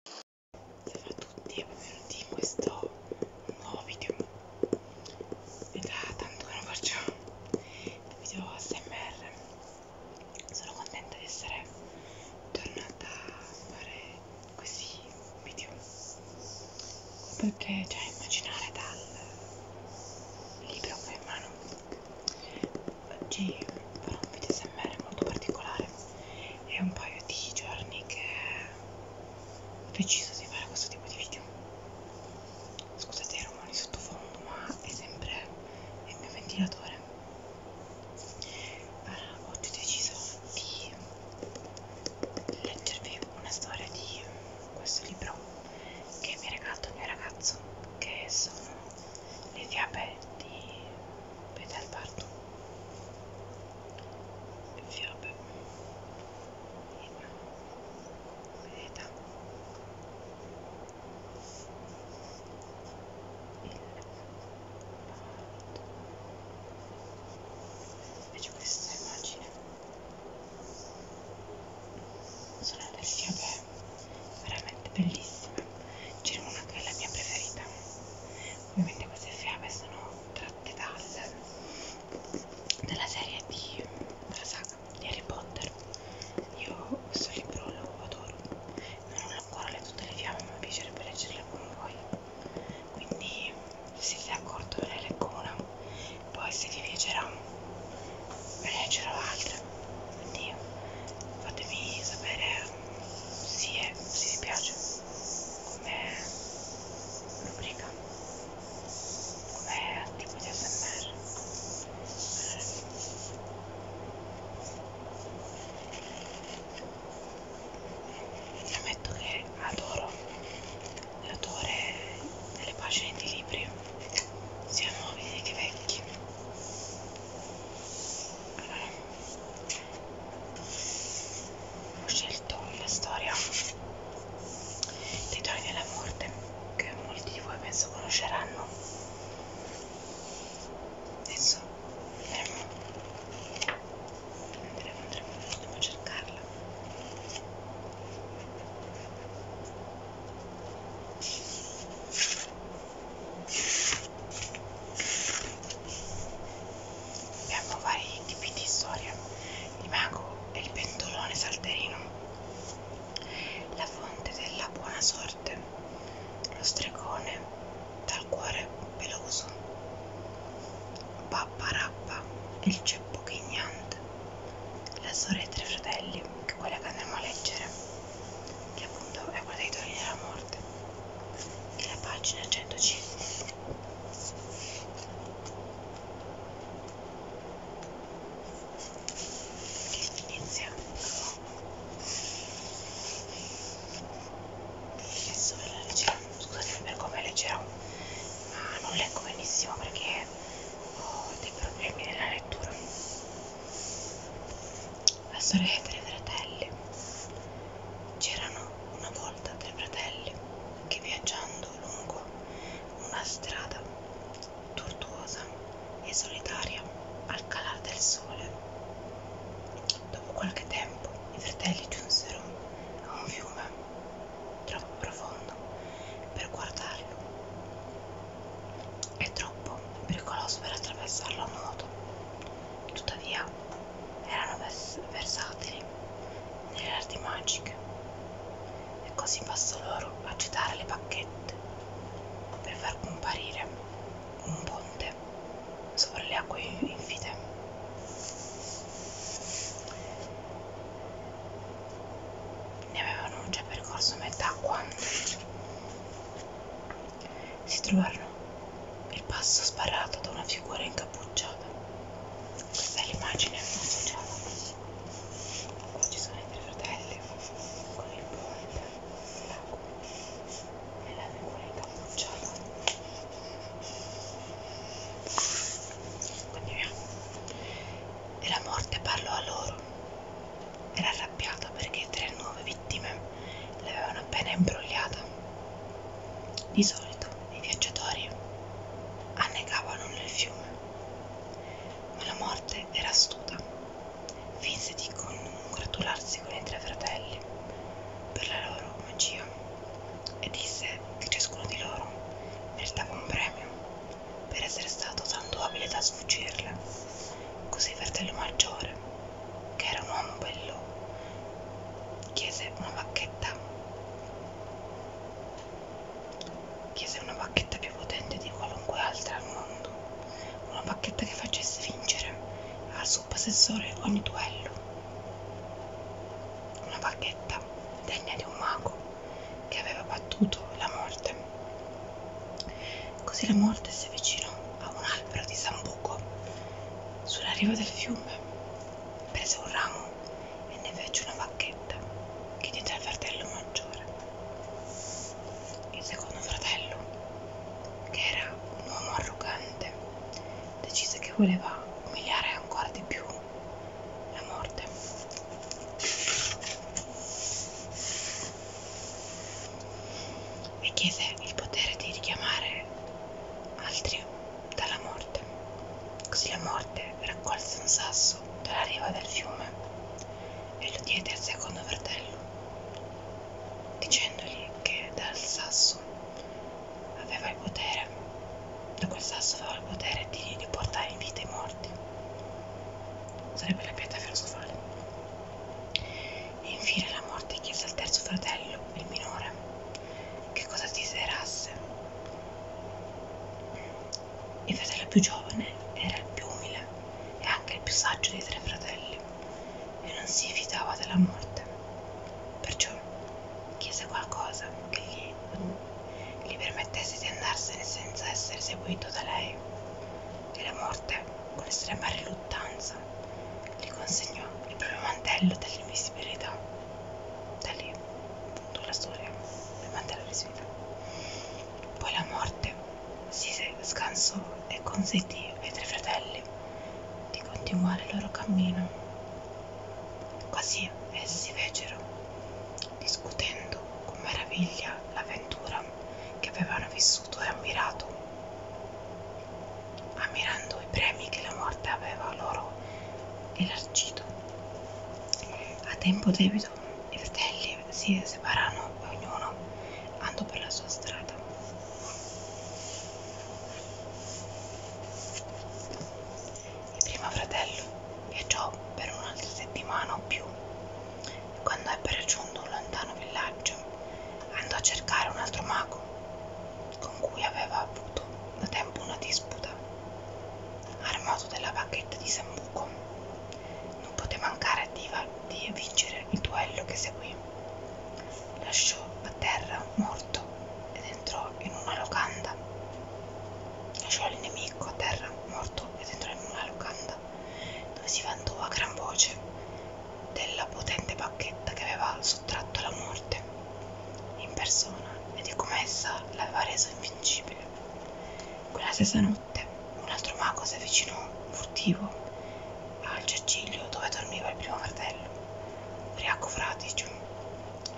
Ciao a tutti e benvenuti in questo nuovo video È da tanto che non faccio video ASMR Sono contenta di essere tornata a fare questi video Perché già cioè, immaginare dal libro che ho in mano Oggi però un video smr molto particolare è un paio di giorni che ho deciso di fare questo tipo di video scusate i rumori sottofondo ma è sempre il mio ventilatore allora, oggi ho deciso di leggervi una storia di questo libro che mi ha regalato il mio ragazzo che sono le fiabe di Peter Barton fiabe vedete invece questa immagine sono delle fiabe veramente bellissime c'è una che è la mia preferita ovviamente queste fiabe sono tratte dal, dalla serie di, della saga di Harry Potter io questo libro lo adoro non ho ancora letto tutte le fiabe ma mi piacerebbe leggerle con voi quindi se siete d'accordo ve ne leggo una poi se vi piacerà ve ne leggerò altre quindi fatemi sapere si eh, è, si piace come rubrica, come tipo di ASMR. Ammetto che adoro l'autore delle pagine di libri, sia nuovi che vecchi. Allora, ho scelto la storia dei Doni della Morte che molti di voi penso conosceranno adesso andremo, andremo, andremo, andremo a cercarla abbiamo vari tipi di storia il mago e il pentolone salterino la fonte della buona sorte lo stregone dal cuore peloso pappa rappa il ceppo ghignante la storia dei tre fratelli che è quella che andremo a leggere che appunto è quella dei togli della morte e la pagina 105 iniziamo adesso ve la leggerò scusate per come leggerò ma non leggo benissimo perché ho dei problemi nella lettura la sorella dei fratelli. C'erano una volta tre fratelli che viaggiando lungo una strada tortuosa e solitaria al calare del sole. Dopo qualche tempo i fratelli giunsero a un fiume troppo profondo per guardarlo e troppo pericoloso per attraversarlo a nuoto tuttavia erano vers versatili nelle arti magiche e così bastò loro agitare le bacchette per far comparire un ponte sopra le acque infide. Ne avevano già percorso metà quando si trovarono il passo sparato da una figura incappucciata. Questa è l'immagine associata. Qua ci sono i tre fratelli con il ponte, l'acqua e la figura incappucciata. Continuiamo. E la morte parlò a loro. Era arrabbiata perché tre nuove vittime l'avevano appena imbrogliata. Di solito i viaggiatori annegavano nel fiume, ma la morte era astuta. Finse di congratularsi con i tre fratelli per la loro magia e disse che ciascuno di loro meritava un premio per essere stato tanto abile da sfuggirle. Così il fratello maggiore che era un uomo bello, chiese una bacchetta. Chiese una bacchetta più potente di qualunque altra al mondo, una bacchetta che facesse vincere al suo possessore ogni duello, una bacchetta degna di un mago che aveva battuto la morte. Così la morte si avvicinò a un albero di sambuco poco sulla riva del fiume prese un ramo e ne fece una bacchetta che diede al fratello maggiore il secondo fratello che era un uomo arrogante decise che voleva umiliare ancora di più la morte e chiese il potere di richiamare altri dalla morte. Così la morte raccolse un sasso dalla riva del fiume e lo diede al secondo fratello, dicendogli che dal sasso aveva il potere, da quel sasso aveva il potere di riportare in vita i morti. Sarebbe la pietra filosofale e infine la morte chiese al terzo fratello, il minore, che cosa desiderasse. Il fratello più giovane era il più umile e anche il più saggio dei tre fratelli e non si fidava della morte, perciò chiese qualcosa che gli, gli permettesse di andarsene senza essere seguito da lei e la morte, con estrema riluttanza, casa gli consegnò il proprio mantello dell'invisibilità. Da lì, appunto, la storia del mantello dell'invisibilità. Poi la morte si scansò e consentì ai tre fratelli di continuare il loro cammino. Così essi fecero, discutendo con meraviglia l'avventura che avevano vissuto e ammirato ammirando i premi che la morte aveva loro elargito. A tempo debito i fratelli si separarono e ognuno andò per la sua strada. Il primo fratello viaggiò per un'altra settimana o più quando ebbe raggiunto un lontano villaggio, andò a cercare un altro mago, con cui aveva avuto da tempo una disputa. Armato della bacchetta di Sambuco, non poté mancare di vincere il duello che seguì. Lasciò a terra morto ed entrò in una locanda. Lasciò il nemico a terra morto ed entrò in una locanda dove si vantò a gran voce della potente bacchetta che aveva sottratto la morte in persona e di come essa l'aveva reso invincibile. Quella stessa notte un altro mago si avvicinò furtivo al giaciglio dove dormiva il primo fratello, ubriaco fraticio.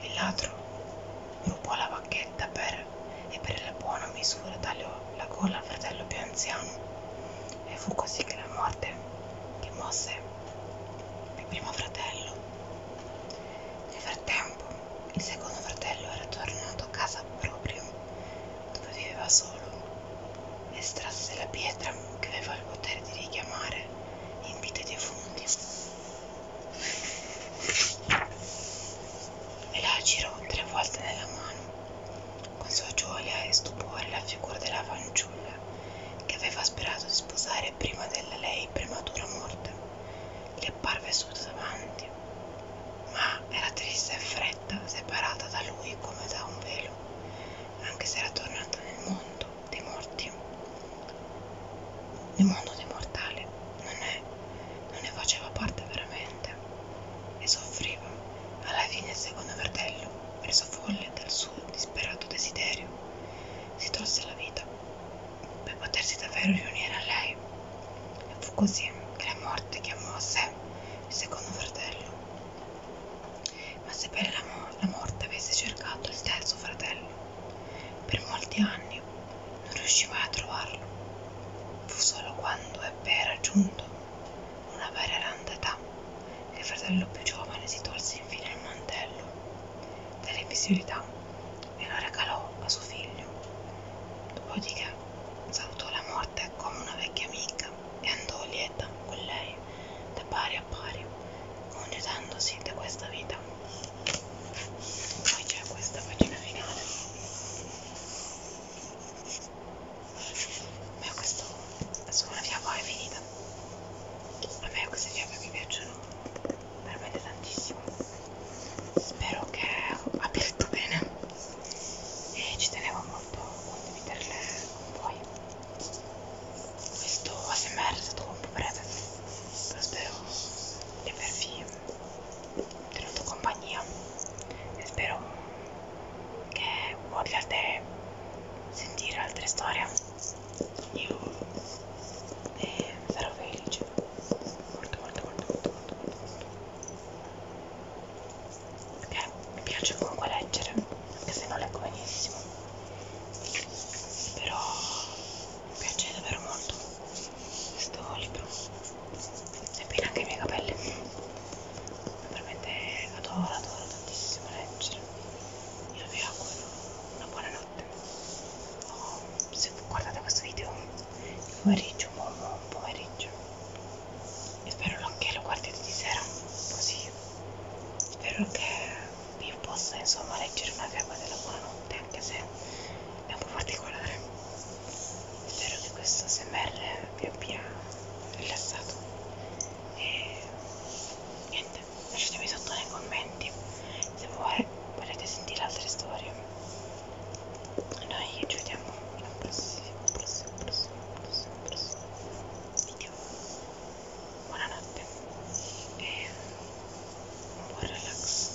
Il ladro rubò la bacchetta per, e per la buona misura tagliò la gola al fratello più anziano e fu così che la morte che mosse il primo fratello. Nel frattempo il secondo fratello era tornato a casa proprio dove viveva solo, estrasse la pietra che aveva il potere di richiamare in vita i defunti e la girò tre volte nella mano con sua gioia e stupore la figura della fanciulla che aveva sperato di sposare prima della lei prematura morte, gli apparve subito davanti, ma era triste e fredda, separata da lui come da un velo, anche se era tornata nel mondo dei morti. Il mondo dei mortali non, è, non ne faceva parte veramente vita e soffriva alla fine il secondo fratello preso folle dal suo disperato desiderio si tolse la vita per potersi davvero riunire a lei e fu così che la morte chiamò a sé il secondo fratello ma sebbene la, mo la morte avesse cercato il terzo fratello per molti anni non riuscì mai a trovarlo fu solo quando ebbe raggiunto una veneranda età che il fratello più giovane si tolse infine il mantello delle visibilità e lo regalò a suo figlio. Dopodiché salutò la morte come una vecchia amica e andò lieta con lei da pari a pari, congedandosi da questa vita. Poi c'è questa pagina finale a me questo insomma la fiaba è finita a me queste fiabe mi piacciono veramente tantissimo spero che abbia detto bene e ci tenevo molto a condividerle con voi questo ASMR è stato un po' breve però spero di avervi tenuto compagnia spero che vogliate sentire altre storie io eh, sarò felice molto molto molto molto molto molto perché mi piace comunque leggere anche se non leggo benissimo però mi piace davvero molto questo libro e pina anche i miei capelli veramente adoro adoro tantissimo leggere io vi auguro una buona notte oh, se guardate questo video di pomeriggio buon, buon pomeriggio e spero che lo guardiate di sera così spero che vi possa insomma leggere una fiaba della buonanotte anche se è un po' particolare spero che questo smr vi abbia rilassato e niente lasciatemi sotto nei commenti se vuoi, volete sentire altre storie noi ci vediamo al prossimo prossimo prossimo prossimo, prossimo video buonanotte e un buon relax